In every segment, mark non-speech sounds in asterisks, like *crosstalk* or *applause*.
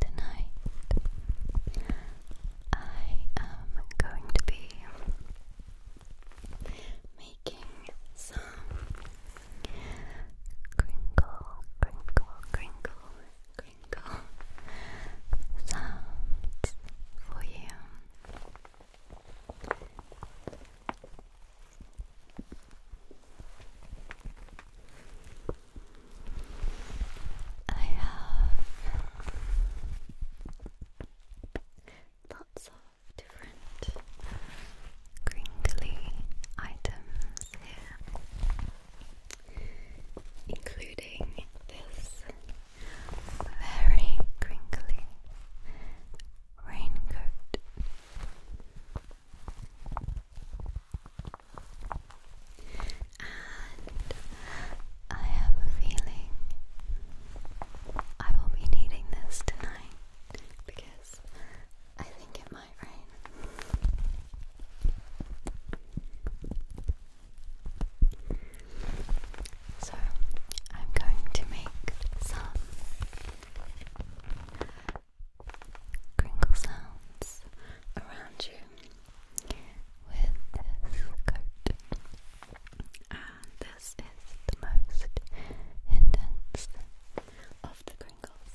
Tonight, I am going to be making some crinkle, crinkle, crinkle, crinkle sounds for you. I have lots of different crinkly items here, including this very crinkly raincoat. And I have a feeling I will be needing this tonight because I think it might rain. So I'm going to make some crinkle sounds around you with this coat. And this is the most intense of the crinkles.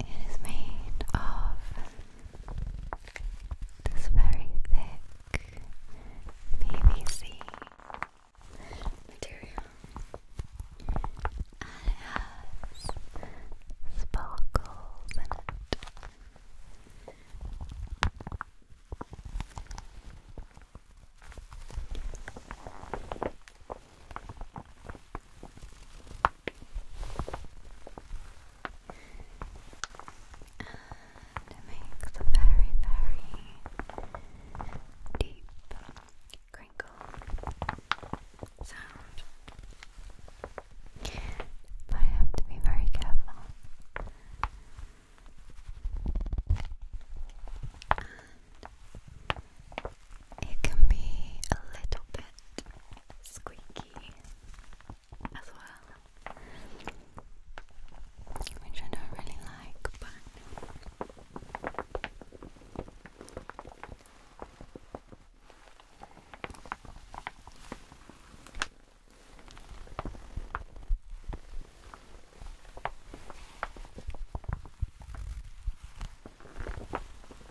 It is made of this very thick PVC material has sparkles in and it makes a very, very deep crinkle sound. But I have to be very careful. it can be a little bit squeaky as well, which I don't really like, but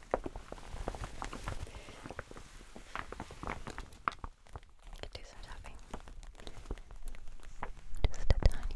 I could do some tapping. Just a tiny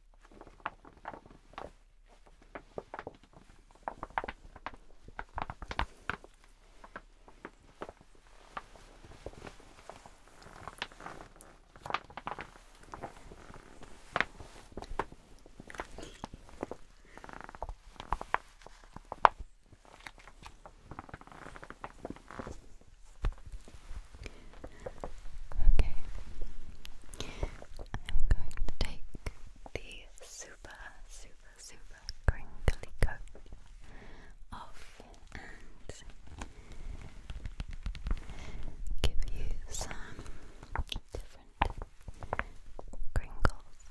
Okay, I'm going to take the super, super, super crinkly coat and give you some different crinkles.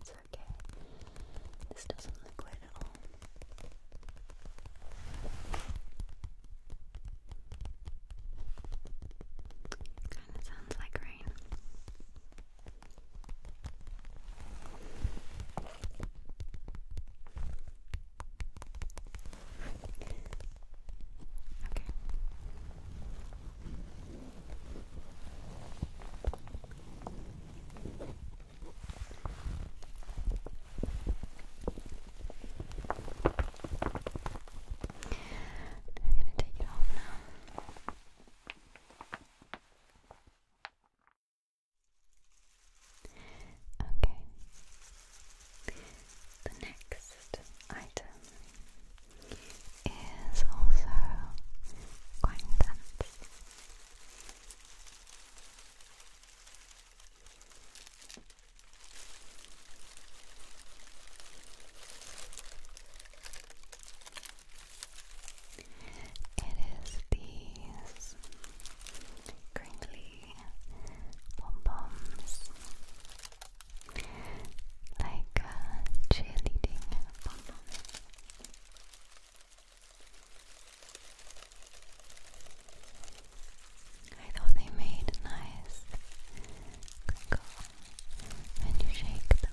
It's okay. This doesn't look good at all. Kind of sounds like rain. Okay. I'm going to take it off now. Okay. The next item is also quite intense. It is these crinkly pom poms like a uh, cheerleading bonbon. I thought they made nice when you shake them.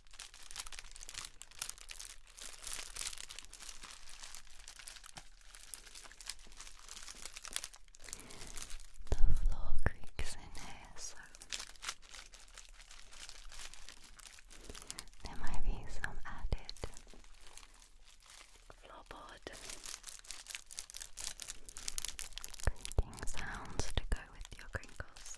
The floor creaks in here, there might be some added floorboard creaking sounds to go with your crinkles.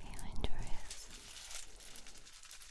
Feel your dress.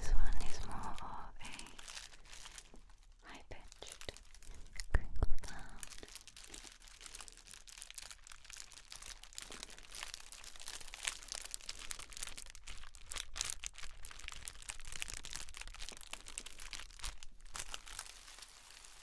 This one is more of a high pitched crinkle sound.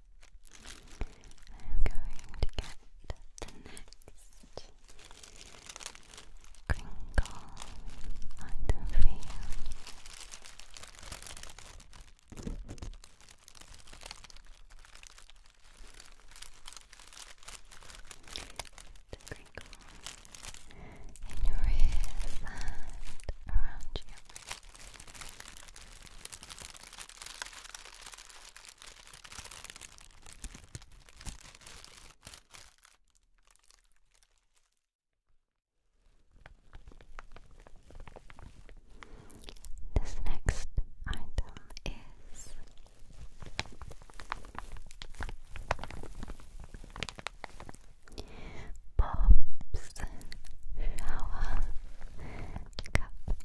I'm going to get the next crinkle item for you. The crinkle in your ears and around you. This next item is Bob's Shower Cup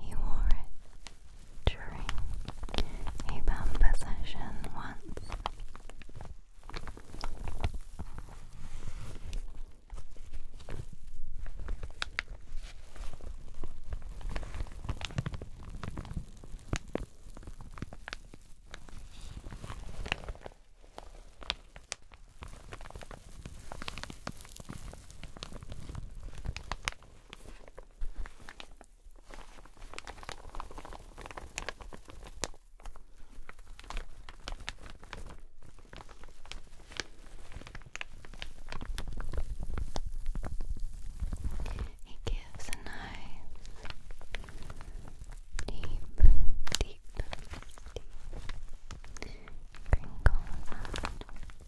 He wore it during a bumper once. It gives a nice deep, deep, deep crinkle sound.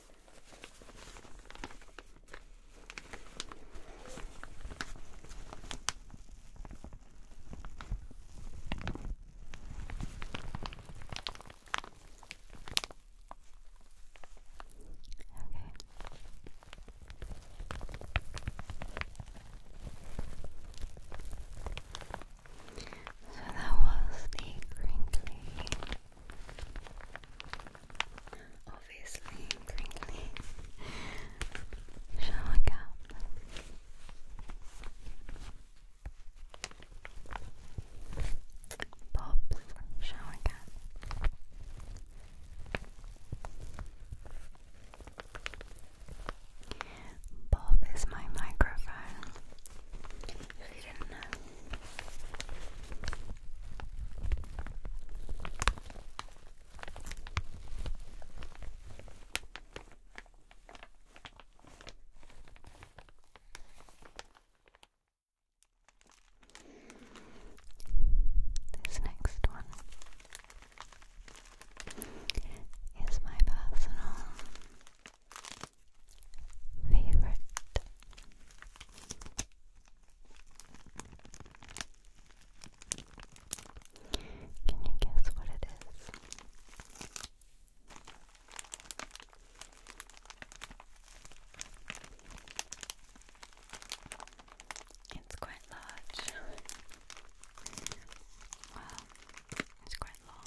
So that was the crinkly Obviously, crinkly shower cap. Bob's shower cap. Bob is my microphone. If you didn't know. This next one is my personal favorite. Can you guess what it is? It's quite large. *laughs* Well, it's quite long.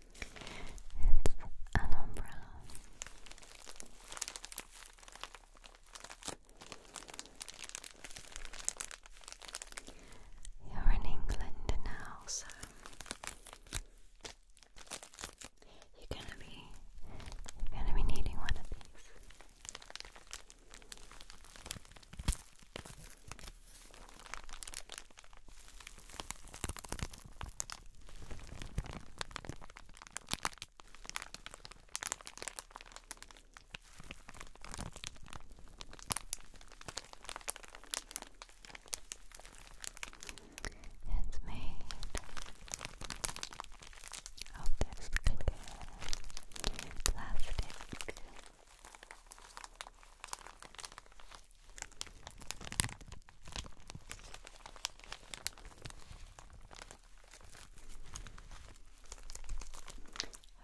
It's an umbrella. You're in England now, so you're gonna be you're gonna be needing one of these. It's made of this clear plastic.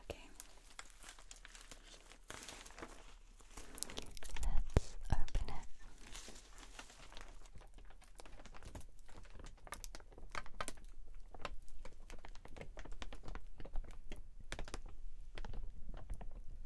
Okay. Let's open it.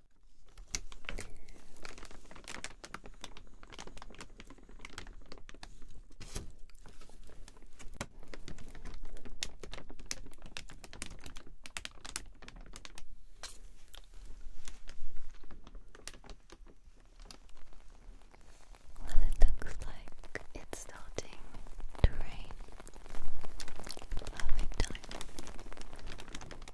Well, it looks like it's starting to rain. Perfect time.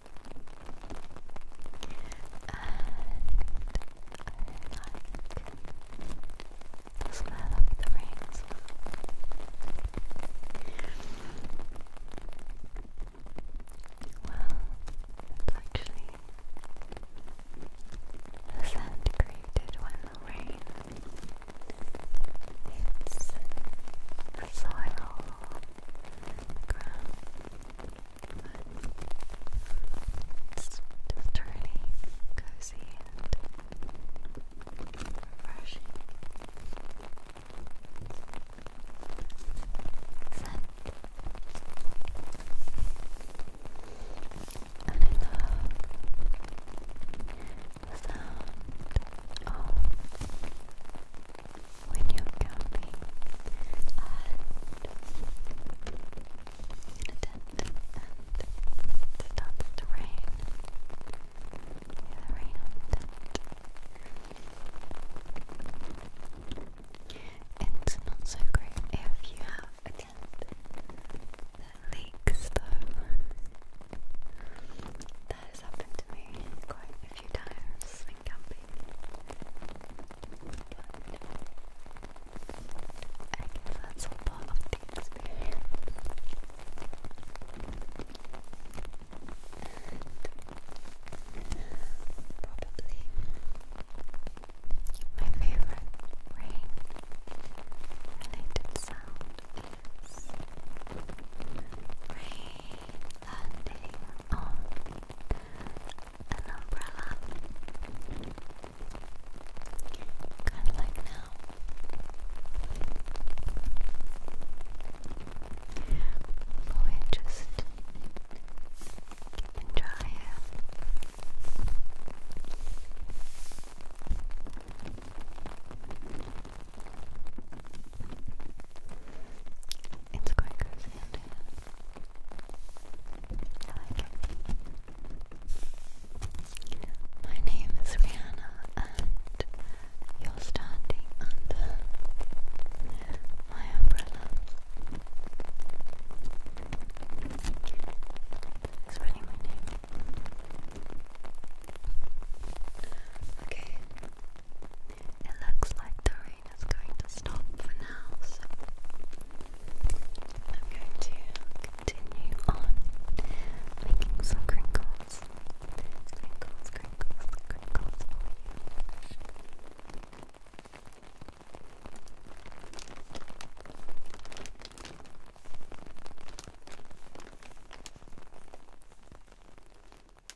like the smell of the rain well. actually the sand created when the rain hits the soil, ground but it's just cozy and refreshing. And I love the sound of when you're camping and in a tent it starts to rain. the rain on the It's not so great if you have leaks though. *laughs* That has happened to me quite a few times in camping. that's all part of the probably my favorite rain related sound is rain landing on an umbrella. Kind of like now. But we just keeping dry it's quite cozy out here. I like it. My name is Rihanna, and you're standing under my umbrella. That's really my Okay. It looks like the mine going to stop for now, so I'm going to continue on making some crinkles. Crinkles, crinkles, crinkles for you.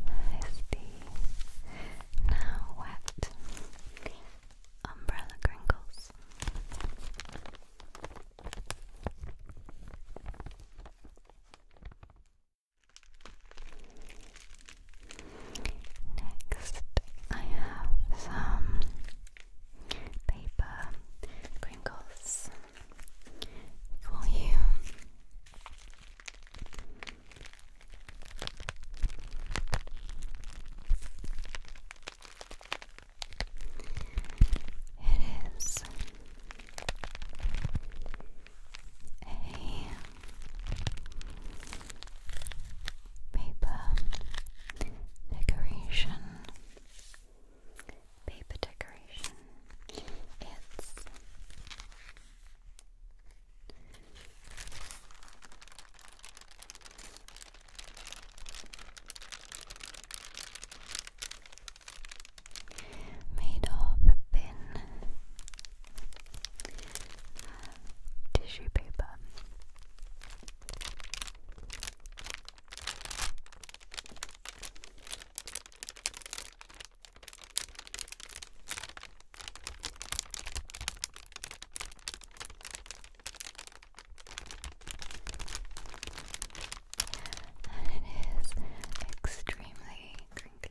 There's now wet umbrella crinkles. Next, I have some paper crinkles for you. It is a paper decoration. Paper decoration. It's Made of thin uh, tissue paper. And it is extremely crinkly.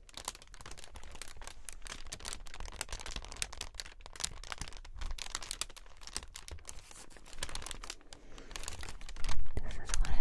This is what it looks like.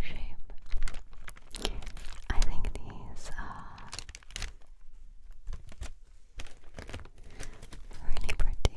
shape. I think these are really pretty.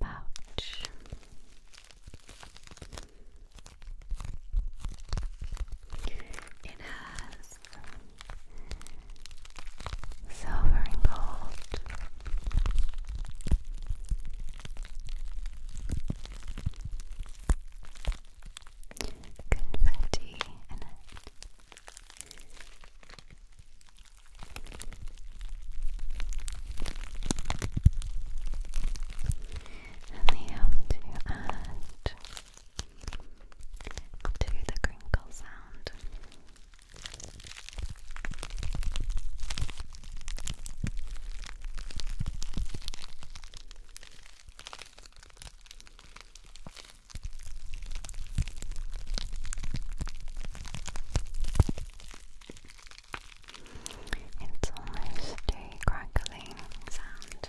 pouch. It has silver and gold. Confetti and they help to add to the crinkle sound. It's almost a crackling sound.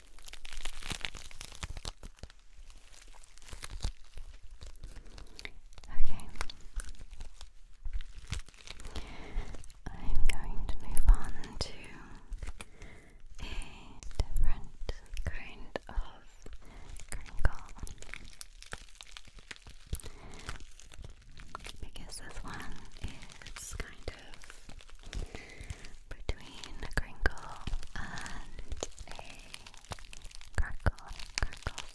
Okay. I'm going to move on to a different kind of crinkle. Because this one is kind of between a crinkle and a crackle, crackle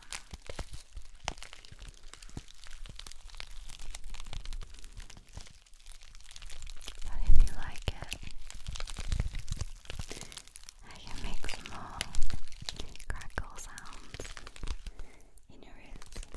if you like it, I can make some more crackle sounds in your ears.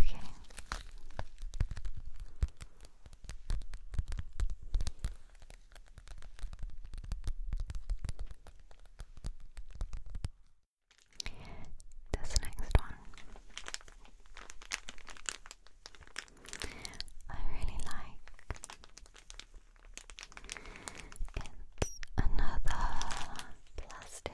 Okay. This next one. I really like it's another plastic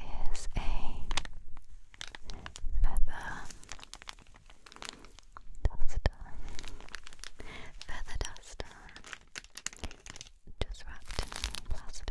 It is a feather duster. Feather duster. Just wrapped in plastic.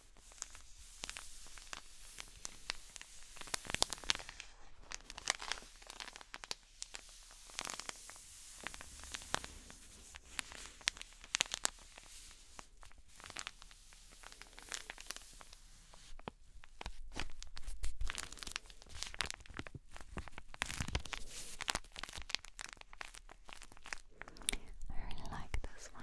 I really like this one.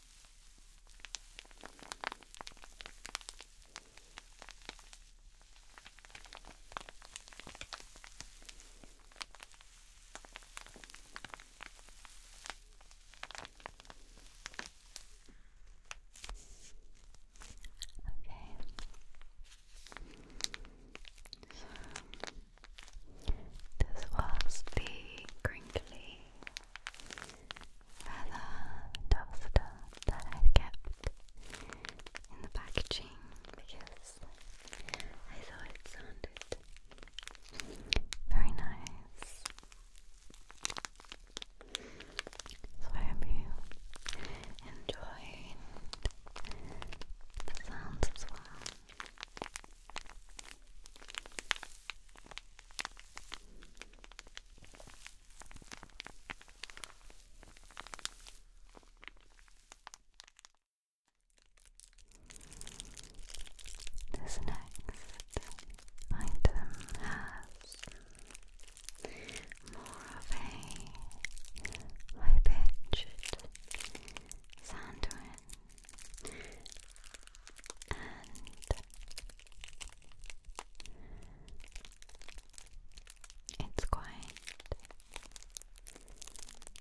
so this was the crinkly feather that I kept in the packaging because I thought it sounded very nice. So I hope you enjoyed the sounds as well. This next item has more of a high pitched it's quite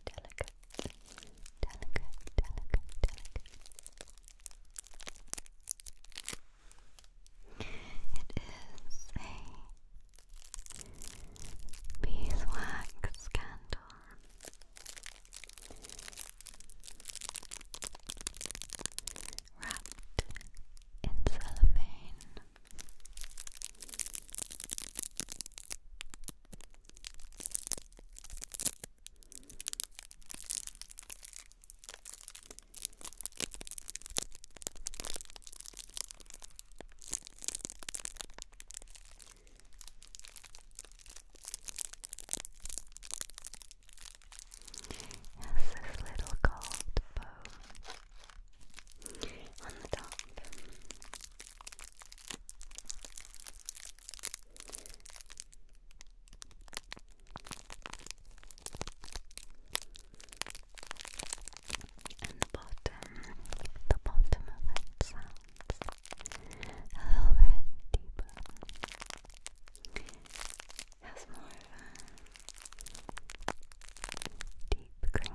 delicate, delicate, delicate, delicate. It is a beeswax candle wrapped in cellophane. Has this little gold bow on the top. And the bottom, the bottom of it a little bit deeper. Has more of a deep crinkle.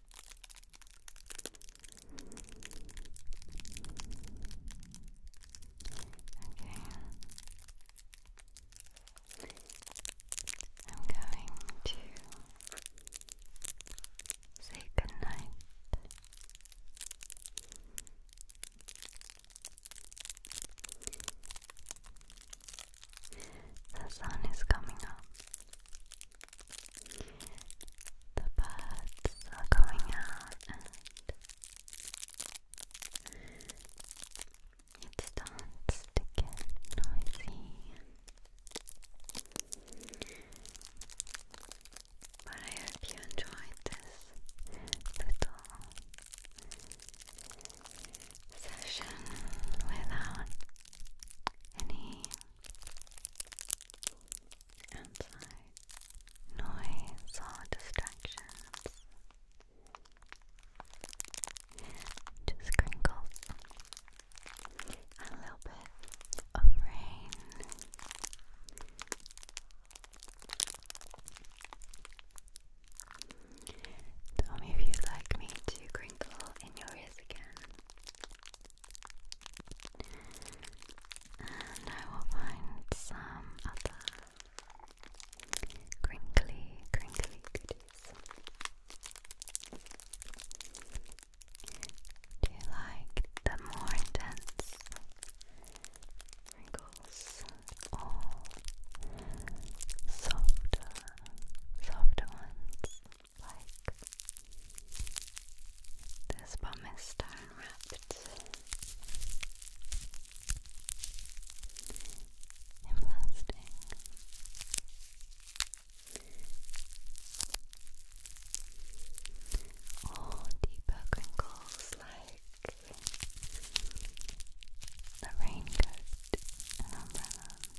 I'm going to say goodnight. The sun is coming up. The birds are going out and it starts to get noisy. But I hope you enjoyed this little session without any outside noise or distractions. Just crinkles a little bit of rain. Tell me if you'd like me to crinkle in your ears again. And I will find some other crinkly, crinkly goodies. Do you like the more intense wrinkles or softer, softer ones? like this pumice stone wrapped Or deeper crinkles like the raincoat and umbrella.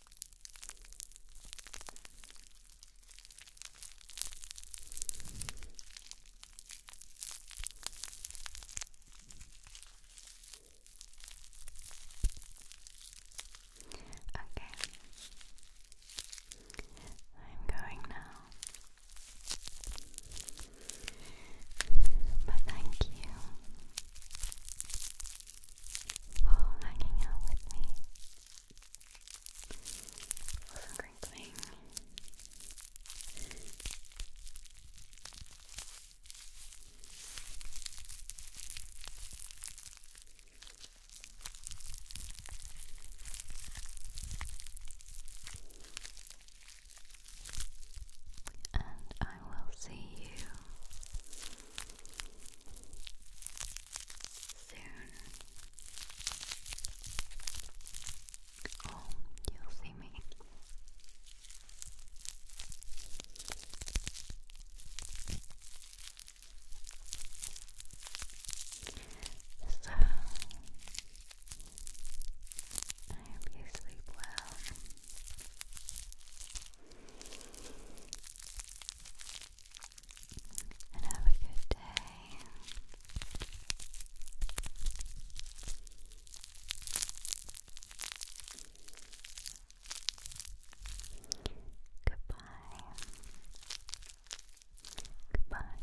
Okay, I'm going now. But thank you for hanging out with me. For some And I will see you soon. Oh, you'll see me. So, I hope you sleep well and have a good day. Goodbye. Goodbye.